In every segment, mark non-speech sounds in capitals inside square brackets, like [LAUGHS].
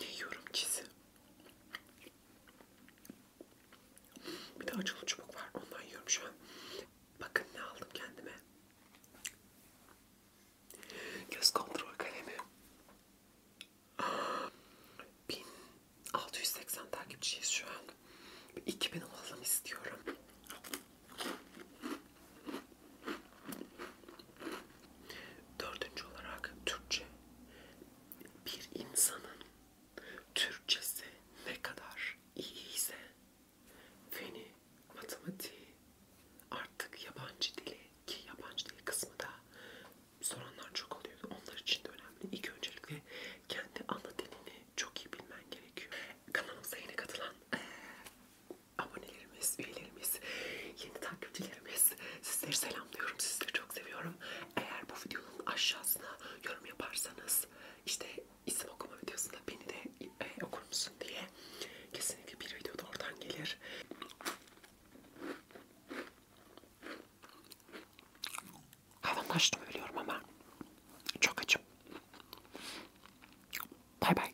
Ne yiyorum çizi? Bir de acılı çubuk var. Ondan yiyorum şu an. Bakın ne aldım kendime. Göz kontrol kalemi. 1680 takipçiyiz şu an. 2000 olalım istiyorum. Dördüncü olarak Türkçe. Bir insanın Türkçesi ne kadar iyiyse feni, matematiği, artık yabancı dili ki yabancı dil kısmı da soranlar çok oluyordu. Onlar için de önemli. İlk öncelikle kendi ana dilini çok iyi bilmen gerekiyor. Kanalımıza yeni katılan e, abonelerimiz, üyelerimiz, yeni takipçilerimiz sizleri selamlıyorum. Sizleri çok seviyorum. Eğer bu videonun aşağısına yorum yaparsanız işte isim okuma videosunda beni de e, okur musun diye kesinlikle bir videoda oradan gelir. Hayvan kaçtım ölüyorum ama çok açım. Bay bay.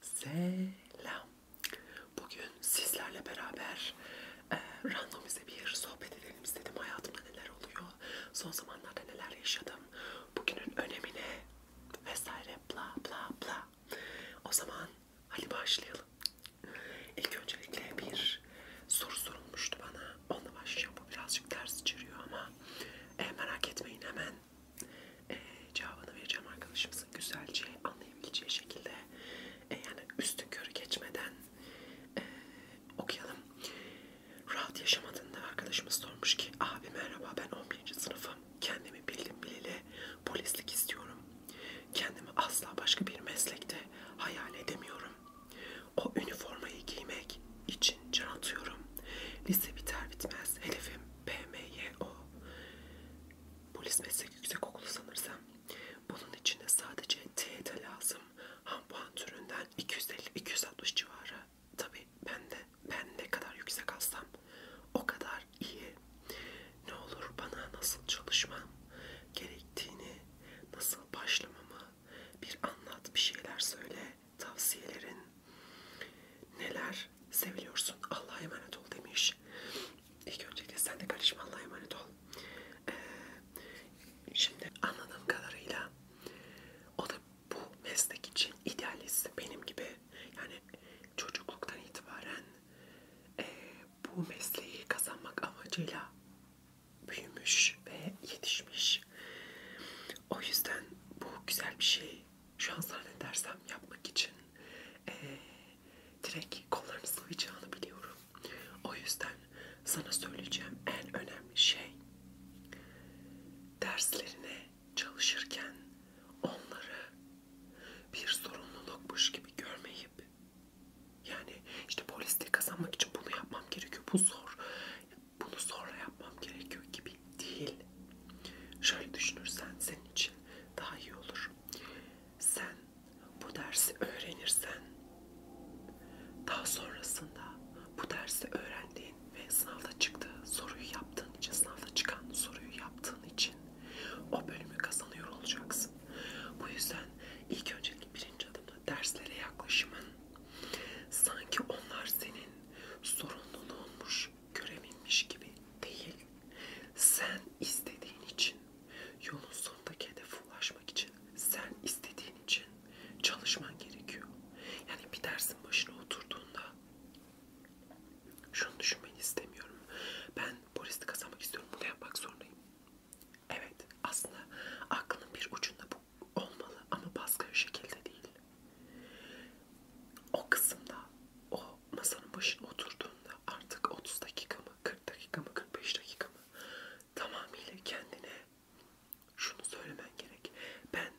Selam. Bugün sizlerle beraber e, randomize bir sohbet edelim istedim. Hayatımda neler oluyor? son zamanlarda neler yaşadım, bugünün önemine vesaire bla bla bla. O zaman hadi başlayalım. İlk öncelikle bir soru sorulmuştu bana. Onunla başlayacağım. Bu birazcık ters içeriyor ama e, merak etmeyin hemen e, cevabını vereceğim arkadaşımızın güzelce anlayabileceği şekilde. E, yani üstü körü geçmeden e, okuyalım. Rahat yaşamadığında arkadaşımız sormuş ki abi merhaba ben 11. sınıfım. Kendimi bildim bileli polislik istiyorum. Kendimi asla başka bir meslekte hayal edemiyorum. O üniformayı giymek için can atıyorum. Lise biter bitmez hedefim PMYO. Polis meslek yüksek okulu sanırsam. Bunun için de sadece TET lazım. Hampuan türünden 250-260 civarı. Tabi ben de ben ne kadar yüksek alsam o kadar iyi. Ne olur bana nasıl çalışmam gerektiğini, nasıl başlamamı bir anlat, bir şeyler söyle, tavsiyelerin neler seviyorsun Allah'a emanet ol demiş. İlk öncelikle sen de karışma Allah'a emanet ol. Ee, şimdi anladığım kadarıyla o da bu meslek için idealist benim gibi yani çocukluktan itibaren e, bu mesleği kazanmak amacıyla büyümüş ve yetişmiş. O yüzden bu güzel bir şey. Şu an zannedersem yapmak için e, direkt kollarını sıvayacağını biliyorum. O yüzden sana söyleyeceğim en önemli şey derslerine çalışırken onları bir sorumlulukmuş gibi görmeyip yani işte polisliği kazanmak için bunu yapmam gerekiyor bu zor bunu sonra yapmam gerekiyor gibi değil şöyle düşünürsen senin için daha iyi olur sen bu dersi öğrenirsen daha sonrasında bu dersi öğrendiğin ve sınavda çıktığı soruyu yaptığın için, sınavda çıkan soruyu yaptığın için o bölümü kazanıyor olacaksın. Bu yüzden ilk önceki birinci adımda derslere yaklaşımın sanki onlar senin sorumluluğunmuş, görevinmiş gibi değil. Sen istediğin için, yolun sonundaki hedefe ulaşmak için işi sen istediğin için çalışman gerekiyor. Yani bir dersin başına oturduğunda şunu düşünmeni istemiyorum. Ben polislik kazanmak istiyorum. Bunu yapmak zorundayım. Evet aslında aklının bir ucunda bu olmalı ama baskın şekilde değil. O kısımda o masanın başına oturduğunda artık 30 dakika mı 40 dakika mı 45 dakika mı tamamıyla kendine şunu söylemen gerek. Ben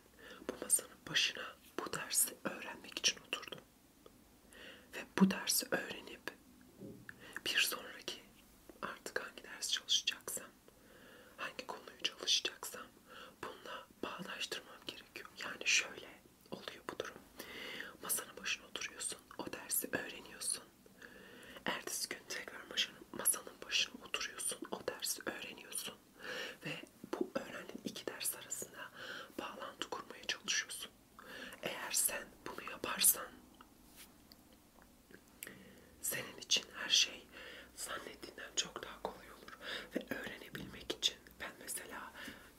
bu masanın başına bu dersi öğrenmek için oturdum. Ve bu dersi öğrenip bir sonraki artık hangi ders çalışacaksam, hangi konuyu çalışacaksam bununla bağdaştırmam gerekiyor. Yani şöyle oluyor bu durum. Masanın başına oturuyorsun, o dersi öğreniyorsun. Ertesi gün tekrar masanın başına oturuyorsun, o dersi öğreniyorsun ve bu öğrendiğin iki ders arasında bağlantı kurmaya çalışıyorsun. Eğer sen bunu yaparsan senin için her şey zannettiğinden çok daha kolay olur ve öğrenebilmek için ben mesela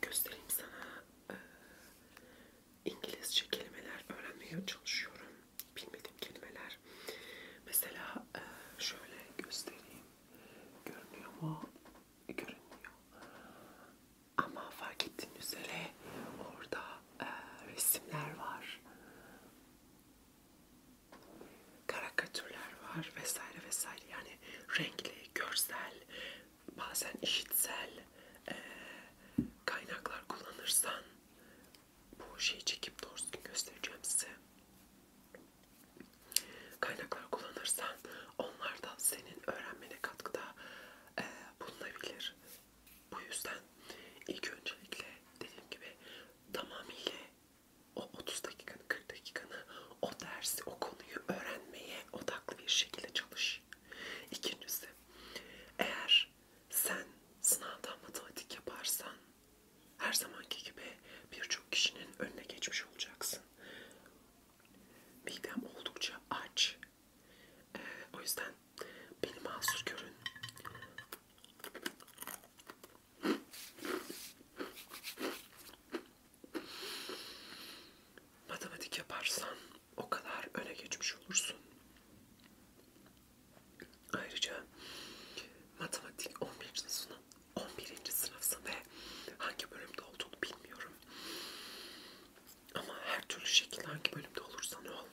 göstereyim sana e, İngilizce kelimeler öğrenmeye çalışıyorum bilmediğim kelimeler. Mesela e, şöyle göstereyim. Görünüyor mu? Görünmüyor. Ama fark ettiğiniz üzere orada e, resimler var. Karikatürler var vesaire vesaire. Yani renkli, görsel, bazen işitsel e, kaynaklar kullanırsan bu şeyi çekip doğrusu göstereceğim size. Kaynaklar kullanırsan onlar da senin öğrenmene katkıda e, bulunabilir. Bu yüzden ilk öncelikle dediğim gibi tamamıyla o 30 dakikanı 40 dakikanı o dersi o konuyu öğrenmeye odaklı bir şekilde çalış. İkincisi eğer var. Sen sınavdan matematik yaparsan her zamanki gibi birçok kişinin önüne geçmiş olacaksın. Midem oldukça aç. Ee, o yüzden beni mahsur görün. Matematik yaparsan o kadar öne geçmiş olursun. Ayrıca matematik 11. sınıf 11. sınıfsın ve hangi bölümde olduğunu bilmiyorum. Ama her türlü şekilde hangi bölümde olursan ol.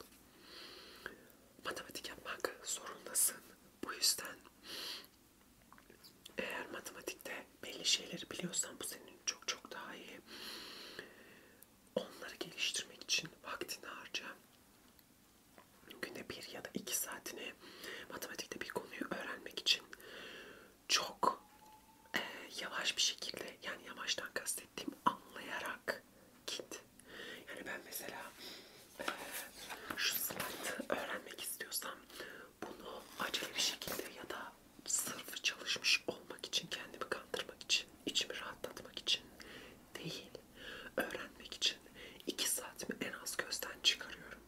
Matematik yapmak zorundasın. Bu yüzden eğer matematikte belli şeyleri biliyorsan bu senin çok çok daha iyi. Onları geliştirmek için vaktini harca günde bir ya da iki saatini matematikte bir konuyu öğrenmek için çok e, yavaş bir şekilde yani yavaştan kastettiğim anlayarak git. Yani ben mesela e, şu slide'ı öğrenmek istiyorsam bunu acele bir şekilde ya da sırf çalışmış olmak için kendimi kandırmak için, içimi rahatlatmak için değil. Öğrenmek için 2 saatimi en az gözden çıkarıyorum.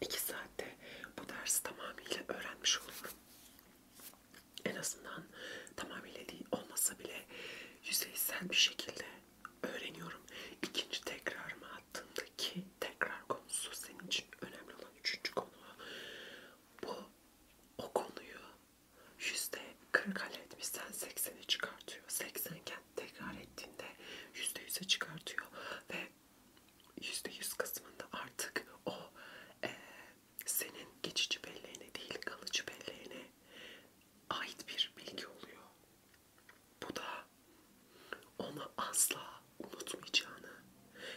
2 saatte bu dersi tamamıyla öğrenmiş oluyorum. En azından tamamıyla değil olmasa bile yüzeysel bir şekilde öğreniyorum. İkinci tekrarıma attığımdaki tekrar konusu senin için önemli olan üçüncü konu. Bu o konuyu yüzde 40 alet bizden 80'e çıkartıyor. 80 iken tekrar ettiğinde yüzde 100'e çıkartıyor ve yüzde 100 kısmında artık o e, senin geçici belleğine değil kalıcı belleğine ait bir bilgi oluyor. Bu da onu asla unutmayacağını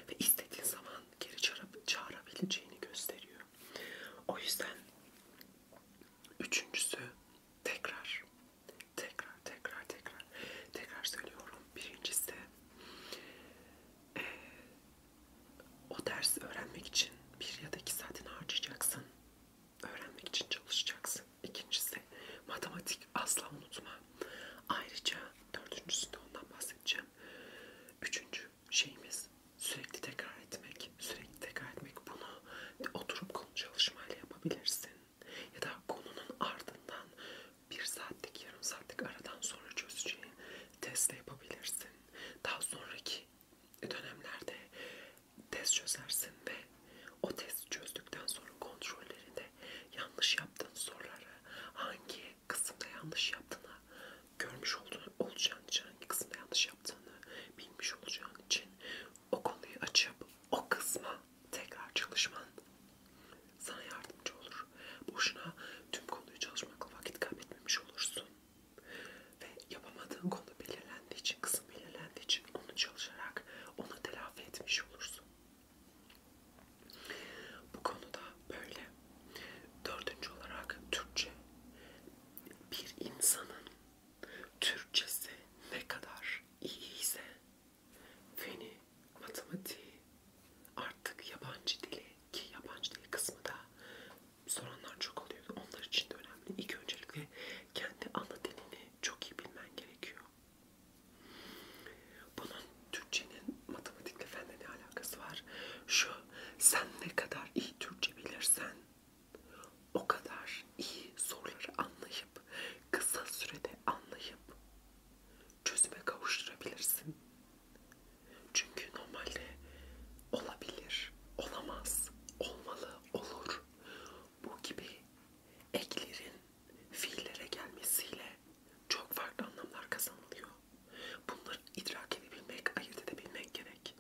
ve istediğin zaman geri çağırabileceğini gösteriyor. O yüzden Üçüncüsü tekrar. Tekrar, tekrar, tekrar. Tekrar söylüyorum. Birincisi ee, o dersi öğrenmek için bir ya da iki saatini harcayacaksın. Öğrenmek için çalışacaksın. İkincisi matematik asla unutma. Ayrıca dördüncüsünde ondan bahsedeceğim. Üçüncü şeyimiz sürekli tekrar etmek. Sürekli tekrar etmek. Bunu oturup konu çalışmayla yapabilirsin. Ya da konunun ardından bir saatlik, yarım saatlik aradan sonra çözeceğin testle yapabilirsin. Daha sonraki dönemlerde test çözersin ve o testi çözdükten sonra kontrollerinde yanlış yaptığın soruları hangi kısımda yanlış yaptığına görmüş olduğunu, olacağın için hangi kısımda yanlış yaptığını bilmiş olacağın için o konuyu açıp o kısma tekrar çalışman sana yardımcı olur. Boşuna tüm konuyu çalışmakla vakit kaybetmemiş olursun. Ve yapamadığın konu belirlendiği için, kısım belirlendiği için onu çalışarak onu telafi etmiş olursun. Bu konuda böyle. Dördüncü olarak Türkçe bir insanın Türkçesi ne kadar iyiyse feni, matematiği, artık yabancı dili ki yabancı dil kısmı da soranlar çok oluyordu. Onlar için de önemli. İlk öncelikle kendi ana dilini çok iyi bilmen gerekiyor. Bunun Türkçenin matematikle fenle ne alakası var? Şu sen ne kadar iyi Türkçe bilirsen o kadar iyi soruları anlayıp kısa sürede anlayıp çözüme kavuşturabilirsin. Çünkü normalde olabilir, olamaz, olmalı, olur. Bu gibi eklerin fiillere gelmesiyle çok farklı anlamlar kazanılıyor. Bunları idrak edebilmek, ayırt edebilmek gerek.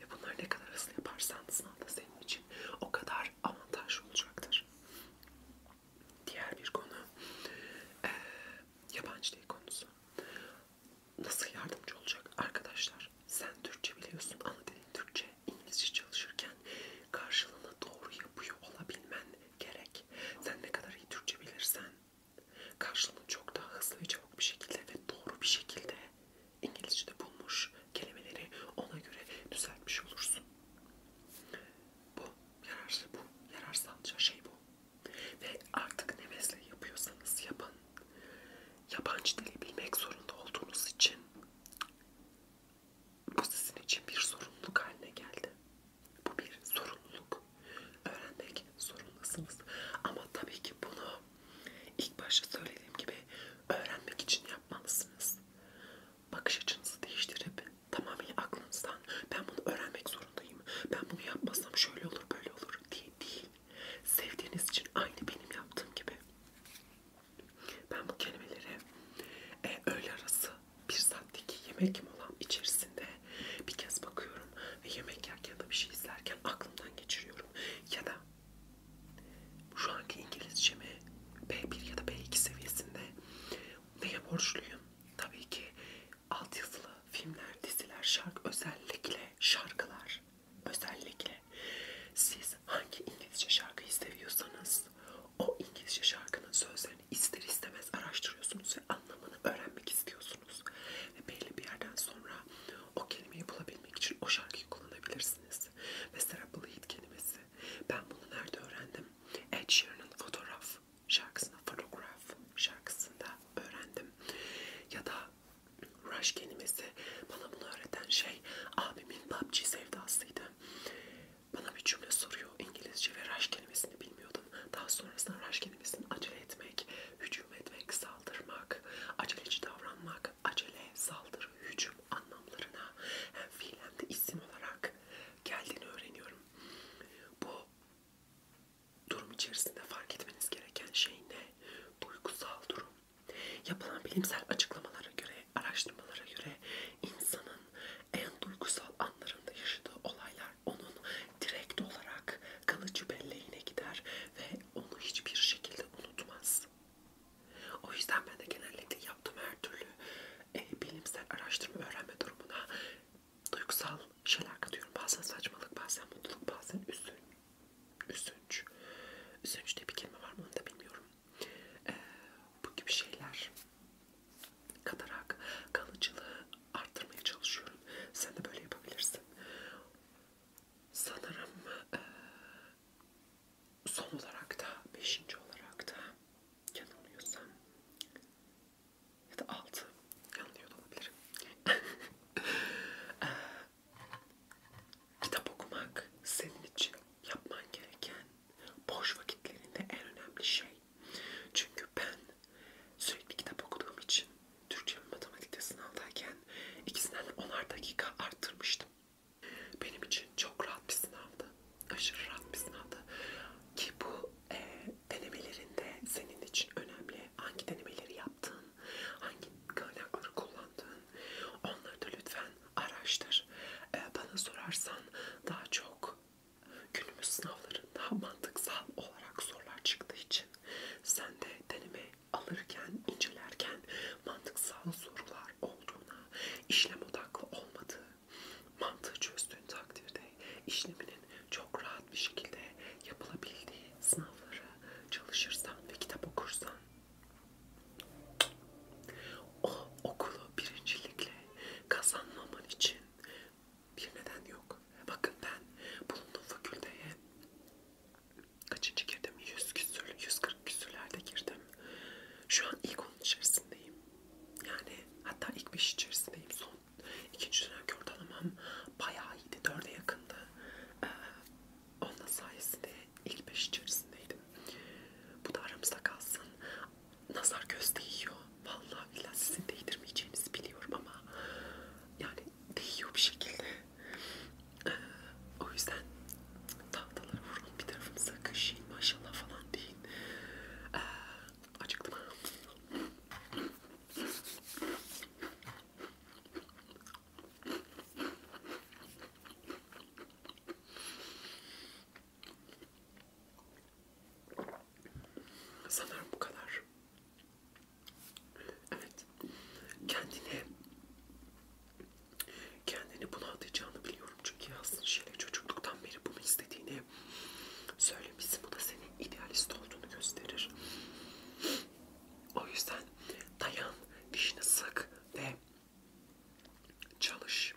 Ve bunları ne kadar hızlı yaparsan sınavda senin için o kadar avantajlı olacaktır. Diğer bir konu e, yabancı dil konusu. Nasıl yardımcı olacak arkadaşlar? Sen Türkçe biliyorsun, ana dilin Türkçe, İngilizce çalışırken karşılığını doğru yapıyor olabilmen gerek. Sen ne kadar iyi Türkçe bilirsen karşılığını çok daha hızlı ve çabuk bir şekilde ve doğru bir şekilde İngilizce'de bulmuş kelimeleri ona göre düzeltmiş olursun. Bu yararlı bu yararsalca şey bu. Ve artık ne mesleği yapıyorsanız yapın. Yabancı dili bilmek zorunda olduğunuz için bu sizin için bir sorumluluk haline geldi. Bu bir sorumluluk öğrenmek zorundasınız. Ama tabii ki bunu ilk başta söylediğim gibi öğrenmek için yapmalısınız. Bakış açınızı değiştirip tamamen aklınızdan ben bunu öğrenmek zorundayım. Ben bunu yapmasam şöyle olur böyle olur diye değil. Sevdiğiniz için aynı benim yaptığım gibi. Ben bu kelimeleri e, öğle arası bir saatlik yemek molam içerisinde bir kez bakıyorum ve yemek yerken ya da bir şey izlerken aklımdan geçiriyorum. Ya da şu anki İngilizcemi B1 ya da B2 seviyesinde neye borçluyum? Tabii ki altyazılı filmler, diziler, şarkı, özellikle şarkılar. Özellikle siz hangi İngilizce şarkıyı seviyorsanız o İngilizce şarkının sözlerini ister istemez araştırıyorsunuz ve anlamını öğrenmek istiyorsunuz bulursunuz. Ve belli bir yerden sonra o kelimeyi bulabilmek için o şarkıyı kullanabilirsiniz. Mesela Bleed kelimesi. Ben bunu nerede öğrendim? Ed Sheeran'ın fotoğraf şarkısında, photograph şarkısında öğrendim. Ya da Rush kelimesi bana bunu öğreten şey abimin PUBG sevdasıydı. Bana bir cümle soruyor İngilizce ve Rush kelimesini bilmiyordum. Daha sonrasında Rush kelimesini acele etmek, hücum etmek, saldırmak, aceleci davranmak, acele, saldırı, hücum anlamlarına hem fiil hem de isim olarak geldiğini öğreniyorum. Bu durum içerisinde fark etmeniz gereken şey ne? Duygusal durum. Yapılan bilimsel açıklamalara göre, araştırmalara göre insanın en duygusal anlarında yaşadığı olaylar onun direkt olarak kalıcı belleğine gider ve onu hiçbir şekilde unutmaz. O yüzden ben de genellikle yaptığım her türlü e, bilimsel araştırma öğrenme durumuna duygusal şeyler katıyorum. Bazen saçmalık, bazen mutluluk, bazen üzün. Üzünç. Üzünç diye bir kelime var mı onu da bilmiyorum. E, bu gibi şeyler katarak kalıcılığı arttırmaya çalışıyorum. Sen de böyle yapabilirsin. Sanırım e, son olarak da beşinci olarak da yanılmıyorsam ya da altı yanılıyor da olabilirim. [LAUGHS] e, kitap okumak senin için yapman gereken boş vakitlerinde en önemli şey. Çünkü ben Sürekli kitap okuduğum için Türkçe ve matematikte sınavdayken ikisinden onar dakika arttırmıştım. Benim için çok rahat bir sınavdı. Aşırı rahat bir sınavdı. Ki bu e, denemelerinde senin için önemli. Hangi denemeleri yaptın, hangi kaynakları kullandın onları da lütfen araştır. E, bana sorarsan daha çok günümüz sınavlarında [LAUGHS] mantıksal olarak sorular çıktığı için sen de deneme alırken, incelerken mantıksal sorular olduğuna, işlem odaklı olmadığı, mantığı çözdüğün takdirde işleminin çok rahat bir şekilde yapılabildiği sınavlara çalışırsan ve kitap okursan o okulu birincilikle kazanmaman için bir neden yok. Bakın ben bulunduğum fakülteye kaçıncı girdim? 100 küsür, 140 küsürlerde girdim. Şu an ilk onun içerisindeyim. Yani hatta ilk 5 içerisindeyim. Son ikinci dönemki ortalamam bayağı iyiydi. 4'e yakındı. Ee, onun sayesinde ilk 5 içerisindeydim. Bu da aramızda kalsın. Nazar göz değiyor. Vallahi billahi sizin değdirmeyeceğinizi biliyorum ama yani değiyor bir şekilde. Ee, o yüzden tahtalara vurun bir tarafınıza kaşıyın maşallah falan deyin. Ee, acıktım. Sanırım bu kadar. Evet. Kendini kendini buna atacağını biliyorum çünkü aslında şeyle çocukluktan beri bunu istediğini söylemişsin. Bu da senin idealist olduğunu gösterir. O yüzden dayan, dişini sık ve çalış.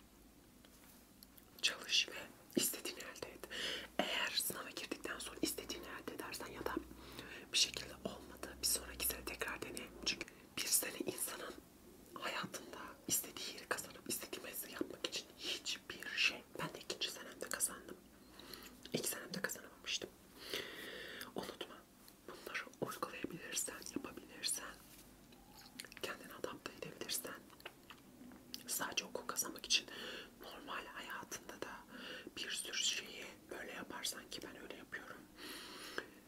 Çalış ve istediğini elde et. Eğer sınava girdikten sonra istediğini elde edersen ya da bir şekilde olmadı bir sonraki sene tekrar dene. Çünkü bir sene insanın hayatında istediği yeri kazanıp istediği mesleği yapmak için hiçbir şey. Ben de ikinci senemde kazandım. İlk senemde kazanamamıştım. Unutma bunları uygulayabilirsen, yapabilirsen, kendini adapte edebilirsen sadece okul kazanmak için normal hayatında da bir sürü şeyi böyle yaparsan ki ben öyle yapıyorum.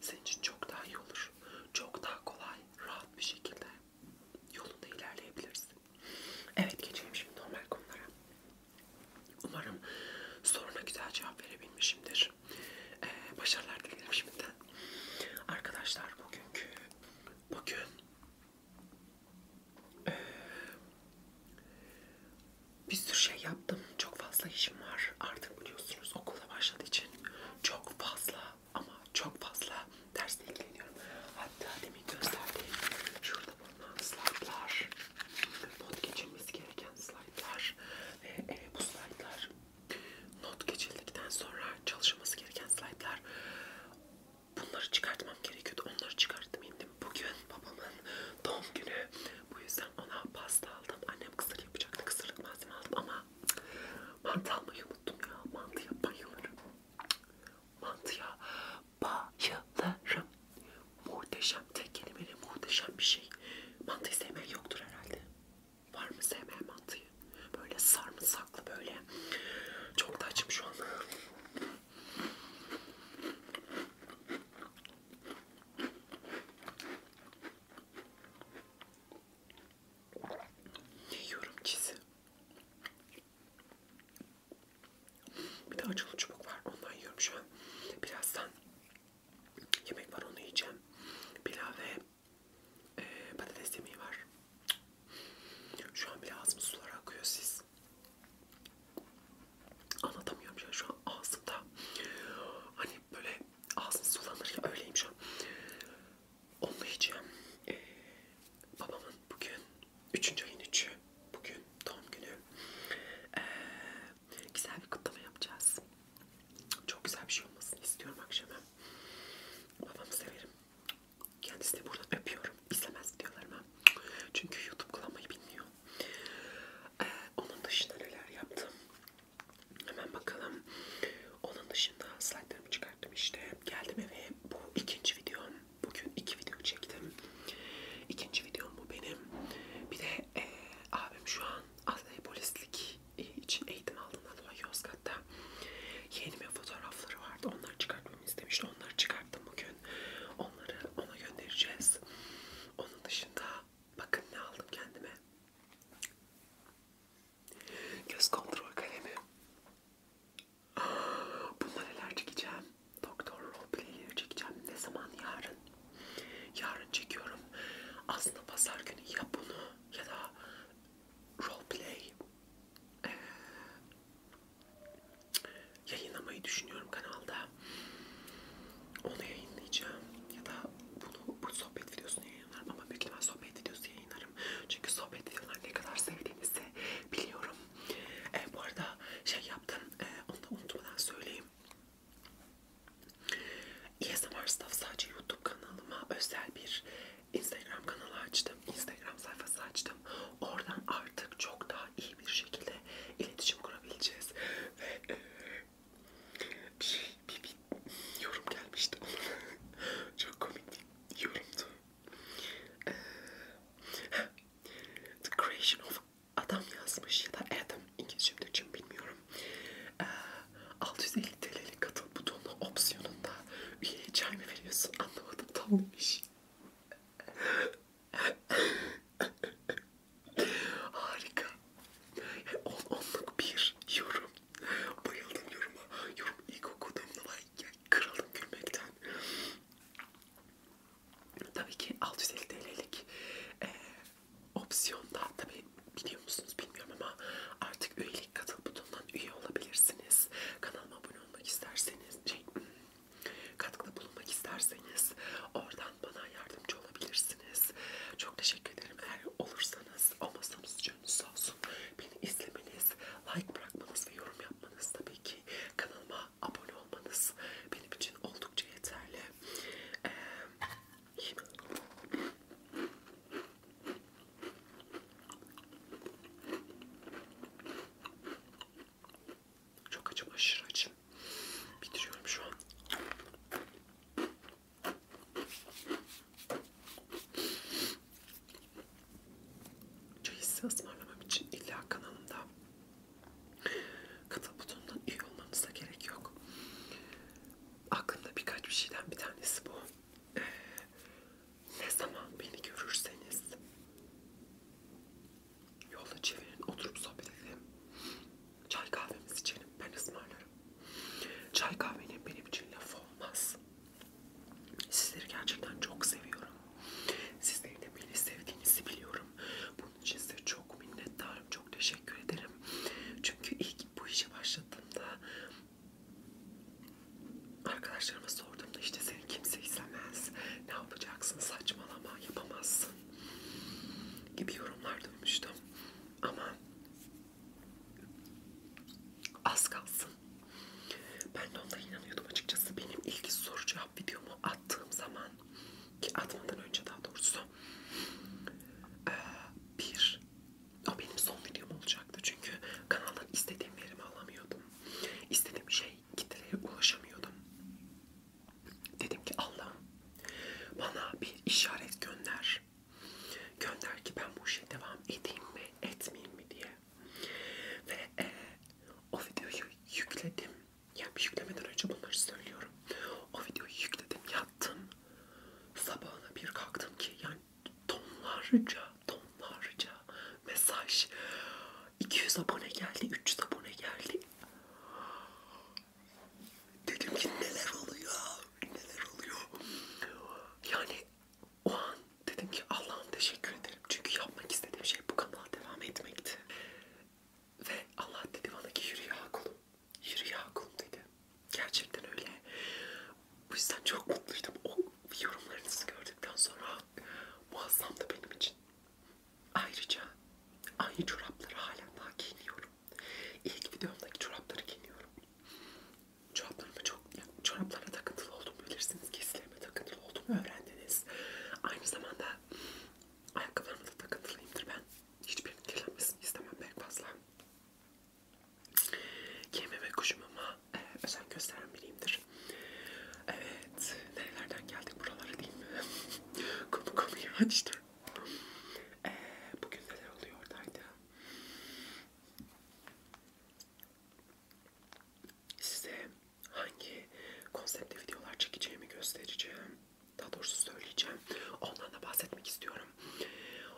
Senin için çok daha iyi olur. Çok daha kolay, rahat bir şekilde yolunda ilerleyebilirsin. Evet geçelim şimdi normal konulara. Umarım soruna güzel cevap verebilmişimdir. Ee, başarılar dilerim şimdiden. Arkadaşlar bugünkü bugün bir sürü şey yaptım. Çok fazla işim var. Artık biliyorsunuz okula başladığı için çok fazla ama çok fazla dersle ilgileniyorum. Hatta demin gösterdiğim şurada bulunan slaytlar, not geçilmesi gereken slaytlar ve e, bu slaytlar not geçildikten sonra çalışılması gereken slaytlar bunları çıkartmam gerekiyordu. Onları çıkarttım indim. Bugün babamın doğum günü. Bu yüzden ona pasta aldım. Annem kısır yapacaktı. Kısırlık malzeme aldım ama mantı almayı unuttum ya. Mantıya bayılırım. Mantıya bayılırım. Muhteşem. Tek kelimeyle muhteşem bir şey. Mantıyı sevmeyen yoktur herhalde. Var mı sevmeyen mantıyı? Böyle sarımsaklı böyle. Çok da açım şu an. Ne yiyorum çizi? Bir de acılı çubuk var. Ondan yiyorum şu an. Birazdan yemek var onu yiyeceğim. Pilav ve e, patates yemeği var. Şu an bile ağzımız sular akıyor siz. Anlatamıyorum ya şu an ağzımda. Hani böyle ağzın sulanır ya öyleyim şu an. Onu yiyeceğim. Ee, babamın bugün üçüncü ayın üçü. Bugün doğum günü. Ee, güzel bir kutlama yapacağız. Çok güzel bir şey olmasını istiyorum akşama. Babamı severim. Kendisini buradan öpüyorum. İzlemez videolarımı. Çünkü YouTube kullanmayı bilmiyor. Ee, onun dışında neler yaptım? Hemen bakalım. Onun dışında slaytlarımı çıkarttım işte. Geldim eve. Bu ikinci videom. Bugün iki video çektim. İkinci videom bu benim. Bir de e, abim şu an aslında polislik e, için eğitim aldığından dolayı Yozgat'ta yeğenimin fotoğrafları vardı. Onları çıkartmamı istemişti. Onları çıkarttım bugün bugün. Onları ona göndereceğiz. Onun dışında bakın ne aldım kendime. Göz kontrol kalemi. Bunlar neler çekeceğim? Doktor roleplayleri çekeceğim. Ne zaman? Yarın. Yarın çekiyorum. Aslında pazar günü ya bunu ya da roleplay ee, yayınlamayı düşünüyorum kanalda. Onu yayınlayacağım ya da bunu bu sohbet videosunu yayınlarım ama büyük ihtimal sohbet videosu yayınlarım. Çünkü sohbet videoları ne kadar sevdiğinizi biliyorum. E, bu arada şey yaptım, e, onu da unutmadan söyleyeyim. ASMR e Stuff sadece YouTube kanalıma özel bir Instagram kanalı açtım açtım. Instagram sayfası açtım. Oradan artık çok daha iyi bir şekilde iletişim kurabileceğiz. Ve e, bir şey, bir, bir yorum gelmişti. [LAUGHS] çok komik bir yorumdu. E, The creation of adam yazmış ya da Adam İngilizce mi Türkçe bilmiyorum. E, 650 TL'lik katıl butonlu opsiyonunda üyeye çay mı veriyorsun anlamadım tam demiş. Harika. On, onluk bir yorum. Bayıldım yoruma. Yorum ilk okuduğumda like kralım gülmekten. Tabii ki 650 TL'lik e, opsiyonda tabii biliyor musunuz bilmiyorum ama artık üyelik katıl butonundan üye olabilirsiniz. Kanalıma abone olmak isterseniz şey, katkıda bulunmak isterseniz oradan bana yardımcı olabilirsiniz. Çok teşekkür ederim. Eğer olursanız, olmasanız canınız sağ olsun. Beni izlemeniz, like bırakmanız ve yorum yapmanız tabii ki kanalıma abone olmanız benim için oldukça yeterli. Ee, çok acım, aşırı acım. Bitiriyorum şu an. Çayı size ısmarlamam için illa kanalımda katıl butonundan üye olmanıza gerek yok. Aklımda birkaç bir şeyden bir tanesi bu. Ee, ne zaman beni görürseniz yolda çevirin oturup sohbet edelim. Çay kahvemizi içelim. Ben ısmarlarım. Çay kahvenin benim için laf olmaz. Sizleri gerçekten çok seviyorum. Sizlerin de beni sevdiğinizi biliyorum. Bunun için size çok minnettarım. Çok teşekkür ederim. Çünkü ilk bu işe başladığımda Arkadaşlarıma sorduğumda işte seni kimse istemez. Ne yapacaksın saçmalama yapamazsın gibi yorumlar duymuştum. Ama az kalsın. Ben de ona inanıyordum açıkçası. Benim ilk soru cevap videomu attığım zaman ki atmadan önce daha doğrusu bir o benim son videom olacaktı çünkü kanaldan istediğim verimi alamıyordum yaptım. İstediğim şey kitlelere ulaşamıyordum. Dedim ki Allah'ım bana bir işaret gönder. Gönder ki ben bu işe devam edeyim mi etmeyeyim mi diye. Ve e, o videoyu yükledim. Yani yüklemeden önce bunları söylüyorum. O videoyu yükledim yattım. Sabahına bir kalktım ki yani tonlarca tonlarca mesaj. 200 abone geldi, 300 abone geldi. Dedim ki neler oluyor, neler oluyor. Yani o an dedim ki Allah'ım teşekkür ederim. Çünkü yapmak istediğim şey bu kanala devam etmekti. Ve Allah dedi bana ki yürü ya kulum, yürü ya kulum dedi. Gerçekten öyle. Bu yüzden çok mutluydum. O yorumlarınızı gördükten sonra muazzam da benim için. Ayrıca aynı çorapları halen daha giyiniyorum. İlk videomdaki çorapları giyiniyorum. Çoraplarıma çok, yani çoraplara takıntılı olduğumu bilirsiniz. Giysilerime takıntılı olduğumu öğrendiniz. Aynı zamanda ayakkabılarıma da takıntılıyımdır ben. Hiçbirinin kirlenmesini istemem pek fazla. Yememe kuşum ama e, özen gösteren biriyimdir. Evet, nerelerden geldik buralara değil mi? Konu konuyu açtı. E, bugün neler oluyor oradaydı? Size hangi konsepte videolar çekeceğimi göstereceğim. Daha doğrusu söyleyeceğim. Ondan da bahsetmek istiyorum.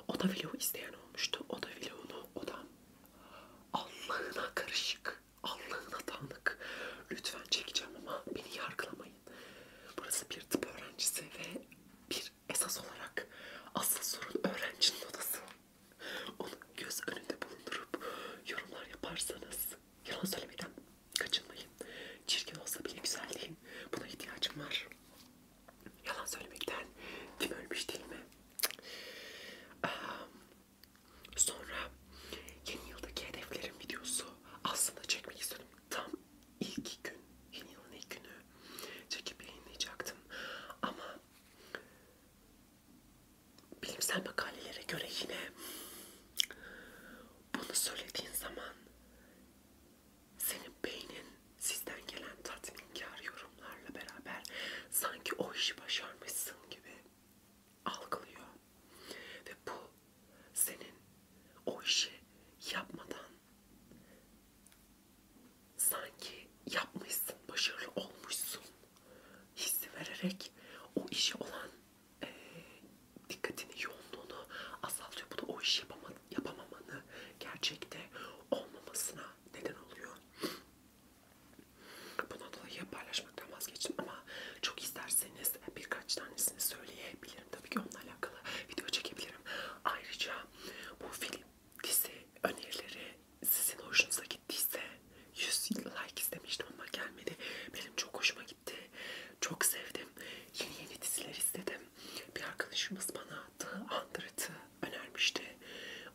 Oda vlogu isteyen olmuştu. Oda vlogunu odam Allah'ına karışık, Allah'ına tanık. Lütfen çekeceğim ama beni yargılamayın. Burası bir tıp öğrencisi ve bir esas olarak asıl sorun öğrencinin odası. Onu göz önünde bulundurup yorumlar yaparsanız yalan söylemeden kaçınmayın. Çirkin olsa bile güzel değil. Buna ihtiyacım var. Yalan söylemekten kim ölmüş değil mi? Um, Sonra yeni yıldaki hedeflerim videosu aslında çekmek istedim. Tam ilk gün, yeni yılın ilk günü çekip yayınlayacaktım. Ama bilimsel makalelere göre yine bunu söylediğin zaman senin beynin sizden gelen tatminkarı yorumlarla beraber sanki o işi başarmışsın gibi algılıyor. Ve bu senin o işi yapmadan sanki yapmışsın, başarılı olmuşsun hissi vererek o işe olan e, dikkatini, yoğunluğunu azaltıyor. Bu da o işi yapamamanı, gerçekte olmamasına neden oluyor. Bundan dolayı paylaşmaktan vazgeçtim ama çok isterseniz birkaç tanesini söyleyebilirim. Tabii ki onunla alakalı video çekebilirim. Ayrıca bu film dizi önerileri sizin hoşunuza gittiyse 100 like istemiştim ama gelmedi. Benim çok hoşuma gitti. Çok sevdim. Yeni yeni diziler istedim. Bir arkadaşımız bana The Hundred'ı önermişti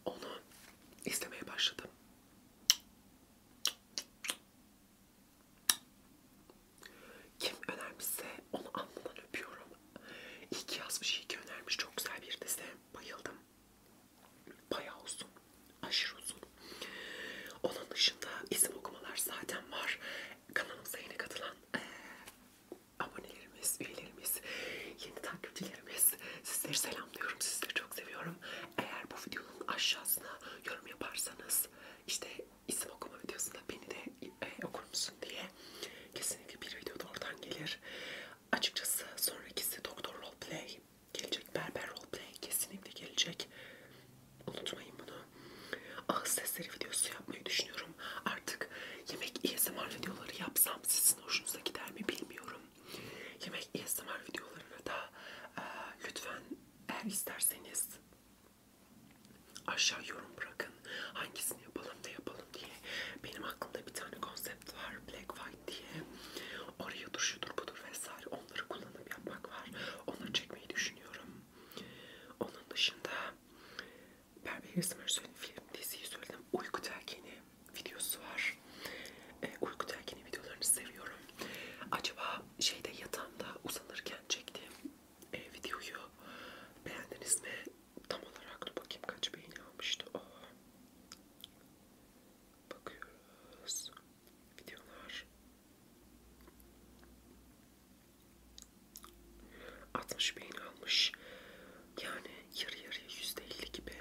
onu istemeye başladım. Kim önermişse onu alnından öpüyorum. İyi ki yazmış, iyi ki önermiş. Çok güzel bir dizi. Bayıldım. Bayağı uzun. Aşırı uzun. Onun dışında isim okumalar zaten var. Kanalımıza yeni katılan e, aboneleri abonelerimiz, üyelerimiz, yeni takipçilerimiz sizleri selamlıyorum. Sizleri çok seviyorum. Eğer bu videonun aşağısına yorum yaparsanız işte isim okuma videosunda beni de e, okur musun diye kesinlikle bir video da oradan gelir. Açıkçası sonrakisi Doktor Roleplay gelecek. Berber Roleplay kesinlikle gelecek. Unutmayın bunu. Ağız sesleri videosu yapmayı düşünüyorum. Artık yemek ASMR videoları yapsam sizin hoşunuza gider mi bilmiyorum yemek ASMR videolarına da e, lütfen eğer isterseniz aşağı yorum bırakın. Hangisini yapalım da yapalım diye. Benim aklımda bir tane konsept var. Black White diye. Oraya duruşudur budur vesaire. Onları kullanıp yapmak var. Onları çekmeyi düşünüyorum. Onun dışında ben bir resim söyledim. Film, diziyi söyledim. Uyku Telkini videosu var. E, uykudayken videolarını seviyorum. Acaba şeyde yatağımda uzanırken çektiğim e, videoyu beğendiniz mi? Tam olarak dur bakayım kaç beğeni almıştı o. Oh. Bakıyoruz. Videolar. 60 beğeni almış. Yani yarı yarıya yüzde elli gibi.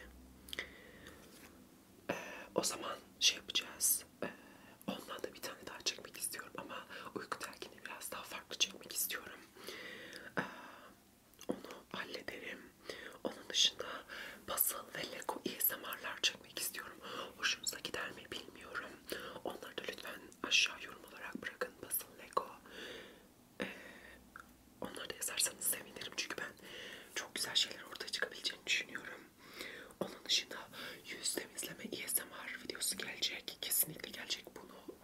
Ee, o zaman şey yapacağız. Ee, ondan da bir tane daha çekmek istiyorum ama uyku terkini biraz daha farklı çekmek istiyorum. Ee, onu hallederim. Onun dışında puzzle ve lego ASMR'lar çekmek istiyorum. Hoşunuza gider mi bilmiyorum. Onları da lütfen aşağı yorum olarak bırakın. Puzzle, lego ee, onları da yazarsanız sevinirim çünkü ben çok güzel şeyler ortaya çıkabileceğini düşünüyorum. Onun dışında yüz temizleme ASMR e videosu gelecek. Kesinlikle gelecek bunu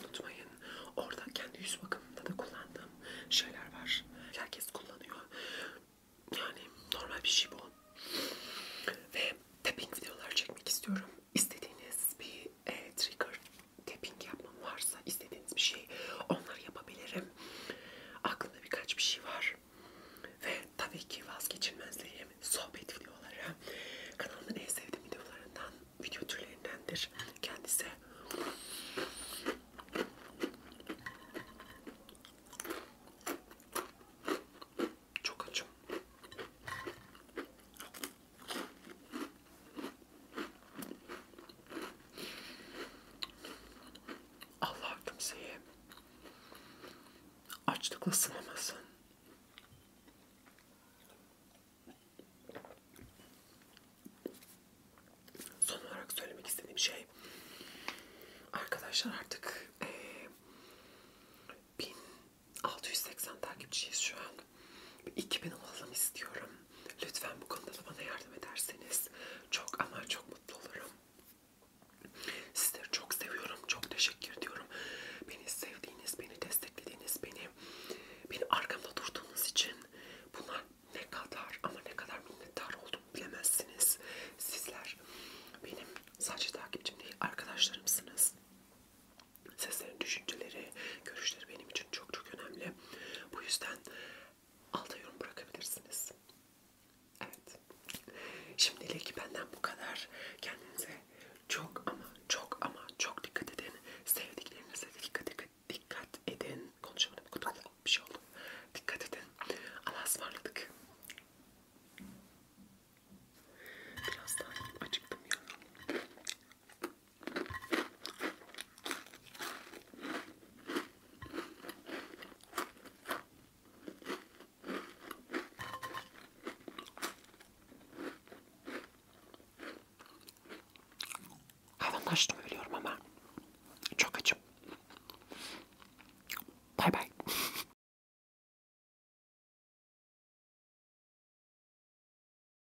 unutmayın. Orada kendi yüz bakımında da kullandığım şeyler var. Herkes kullanıyor. Yani normal bir şey bu. Ve tapping videolar çekmek istiyorum. İstediğiniz bir e, trigger tapping yapmam varsa istediğiniz bir şey onları yapabilirim. Aklımda birkaç bir şey var. Ve tabii ki vazgeçilmezlerim sohbet videoları. Kanalımın en sevdiğim videolarından, video türlerindendir kendisi. Çok açım. Allah kimseyi açlıkla sınamasın. Son olarak söylemek istediğim şey arkadaşlar artık e, 1680 takipçiyiz şu an. 2000 olalım istiyorum. Lütfen bu konuda da bana yardım ederseniz çok ama çok mutlu olurum. Sizleri çok seviyorum. Çok teşekkür ediyorum. Beni sevdiğiniz, beni desteklediğiniz, beni beni arkamda durduğunuz için bunlar ne kadar ama ne kadar minnettar oldum bilemezsiniz. Sizler benim sadece takipçim değil arkadaşlarımsınız. Sizlerin düşünceleri, görüşleri benim için çok çok önemli. Bu yüzden alta yorum bırakabilirsiniz. Evet. Şimdilik benden bu kadar. Kendinize çok ama çok ama çok dikkat edin. Sevdiklerinize dikkat, dikkat, dikkat edin. Konuşamadım. Bir şey oldu. Dikkat edin. Allah'a ısmarladık. Biraz daha acıktım ya. Hayvanlaştım ölüyorum ama çok açım. Bay bay. [LAUGHS]